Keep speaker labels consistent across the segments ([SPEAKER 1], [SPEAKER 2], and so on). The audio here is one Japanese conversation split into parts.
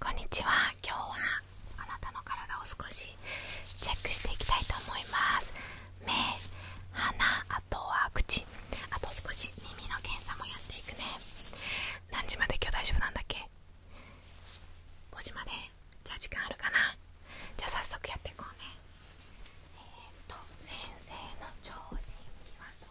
[SPEAKER 1] こんにちは今日はあなたの体を少しチェックしていきたいと思います目鼻あとは口あと少し耳の検査もやっていくね何時まで今日大丈夫なんだっけ5時までじゃあ時間あるかなじゃあ早速やっていこうねえっと先生の聴診器はど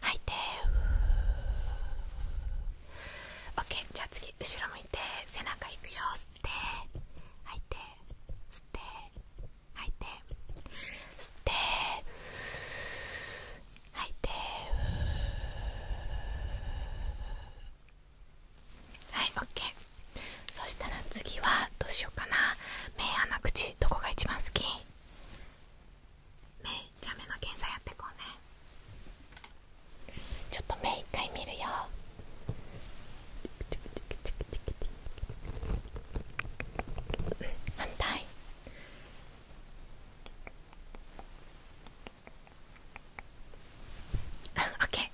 [SPEAKER 1] 吐いてオッケーじゃあ次後ろ向いて背中いくよ吸って吐いて吸って吐いて吸って吐いてはいオッケーそしたら次はどうしようかな目鼻口どこが一番好き目じゃあ目の検査やってこうねちょっと目一回見るよ反対オッケー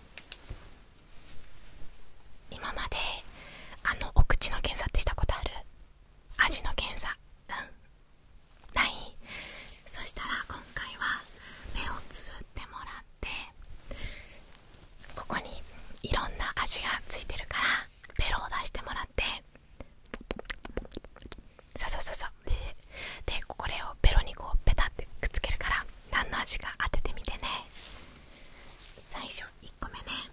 [SPEAKER 1] 今まであのお口の検査ってしたことある味の検査うんないそしたら今回は目をつぶってもらってここにいろんな味がついてるからベロを出してもらってそうそうそうそうでこれをベロにこうペタってくっつけるから何の味か当ててみてね最初1個目ね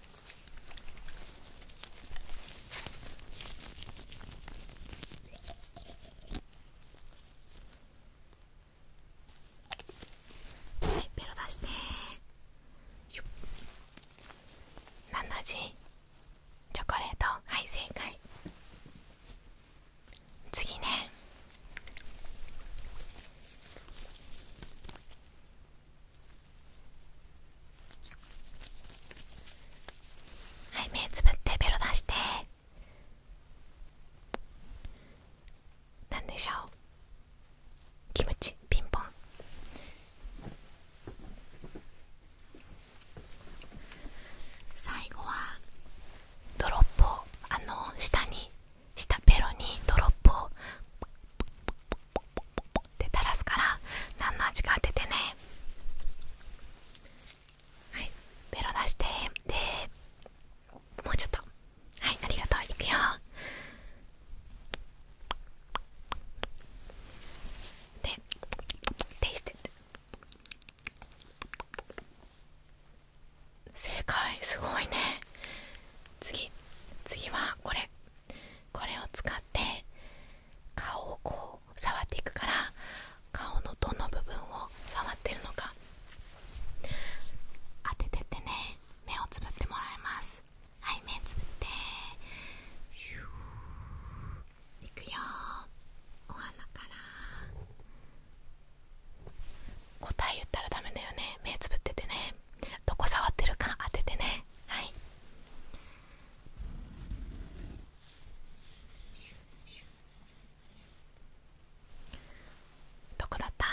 [SPEAKER 1] はいペロ出してよっ何の味チョコレートはい正解次ねはい目つぶってベロ出してなんでしょうキムチピンポン最後はドロップをあの下にしたベロにドロップをって垂らすから何の味か当ててねはいベロ出してでもうちょっとはいありがとういくよでテイステッド正解すごいね次次はこれこれを使って顔をこう触っていくから顔のどの部分を触ってるのか当ててってね目をつぶってもらいますはい目つぶっていくよお花から答え言ったらダメだよね目つぶっててねどこ触ってるか当ててねはいどこだった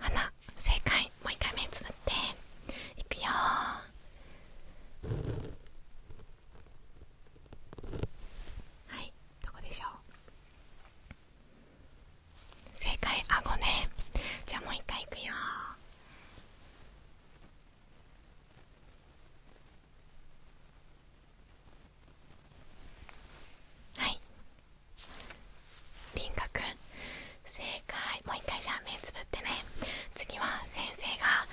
[SPEAKER 1] 花正解もう一回目つぶっていくよはいどこでしょう正解あごねじゃあもう一回いくよはい輪郭正解もう一回じゃあ目つぶってね次は先生が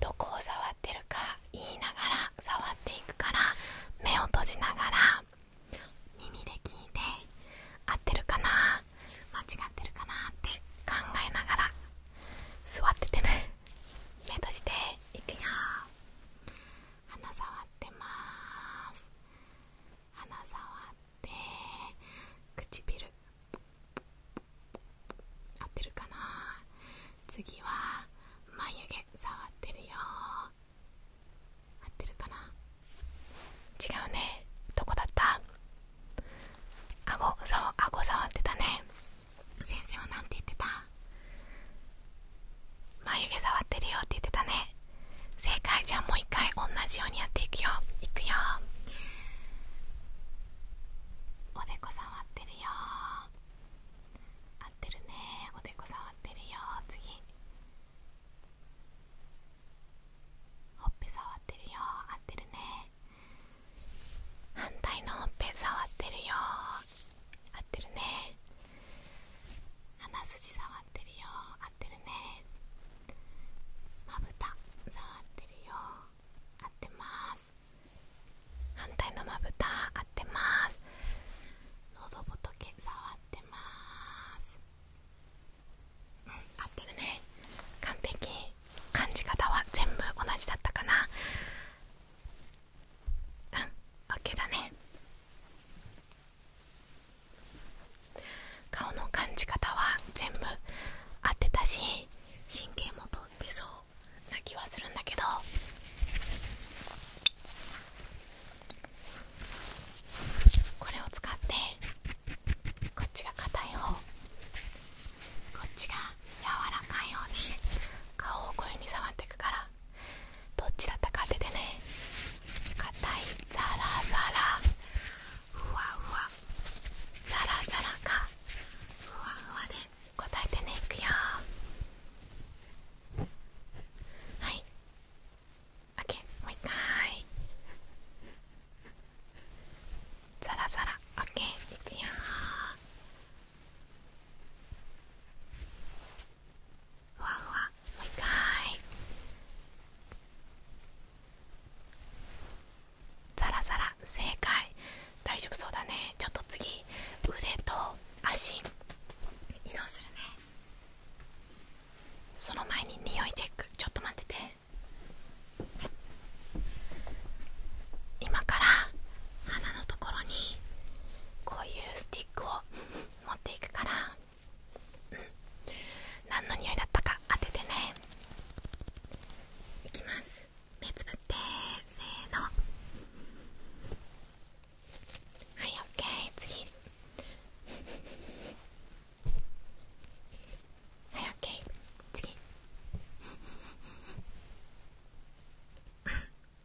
[SPEAKER 1] どこを触ってるか言いながら触っていくから目を閉じながら耳で聞いて合ってるかな間違ってるかなって考えながら座っててね目とじていくよ鼻触ってます鼻触って唇合ってるかな次は眉毛触ってるよ合ってるかな違うねどこだった顎そう顎触ってたね先生は何て言ってた眉毛触ってるよって言ってたね正解じゃあもう一回同じようにやっていくよいくよおでこ触ってるよ合ってるねおでこ触ってるよ次ほっぺ触ってるよ合ってるね反対のほっぺ触ってるよ合ってるね鼻筋触ってるよ合ってるねまぶた触ってるよ合ってます反対のまぶた合ってます喉仏触ってますうん合ってるね完璧感じ方は全部同じだったかなうん OK だね顔の感じ方は全部合ってたし神経も通ってそうな気はするんだけどこれを使ってこっちが硬い方こっちが柔らかいうね顔をこういう風に触っていくからどっちだったか当ててね硬いザラザラふわふわザラザラかふわふわで答えてねいくよはいオッもう一回ザラザラオッいくよふわふわもう一回ザラザラ正解大丈夫そうだねちょっと次腕と足移動するねその前に匂いチェックちょっと待ってて今から鼻のところにこういうスティックを 持っていくから何の匂いだったか当ててねいきます目つぶってせーのはいオッケー次はいオッケー次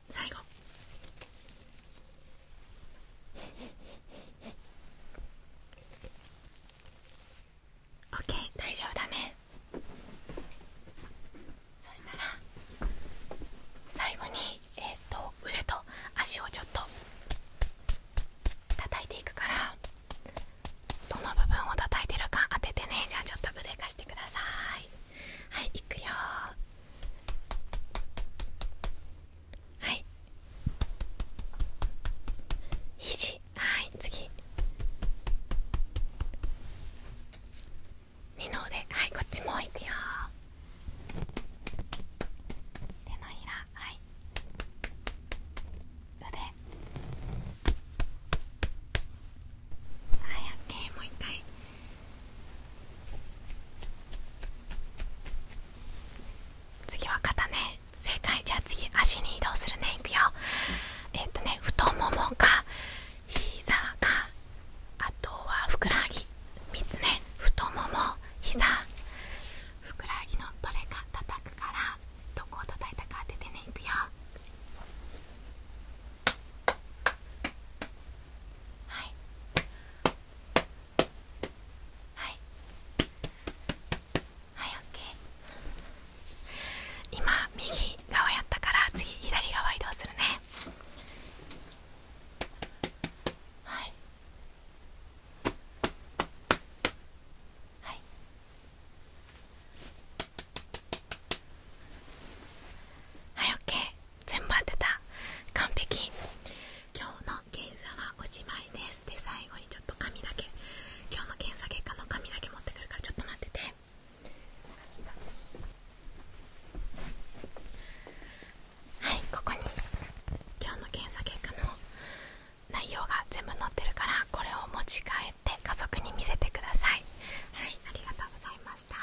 [SPEAKER 1] 最後はいオッ大丈夫だねそしたら最後に、えっと腕と足をちょっと叩いていくからどの部分を叩いてるか当ててねじゃあちょっとブ腕貸してくださいはいいくよはい肘はい次二の腕はいこっちもういくよ手のひらはい腕はいオッケーもう一回次は肩ね正解じゃあ次足に移動するねいくよえっ、とね太ももか膝かあとはふくらはぎ3つね太もも膝ふくらはぎのどれか叩くからどこを叩いたか当ててねいくよはいはいはい OK 今右側やったから次左側移動するねはいはいはい OK 全部当てた完璧今日の検査はおしまいですで最後にちょっと紙だけ今日の検査結果の紙だけ持ってくるからちょっと待っててはいここに今日の検査結果の内容が全部載ってるからこれを持ち帰って家族に見せてくださいはいありがとうございました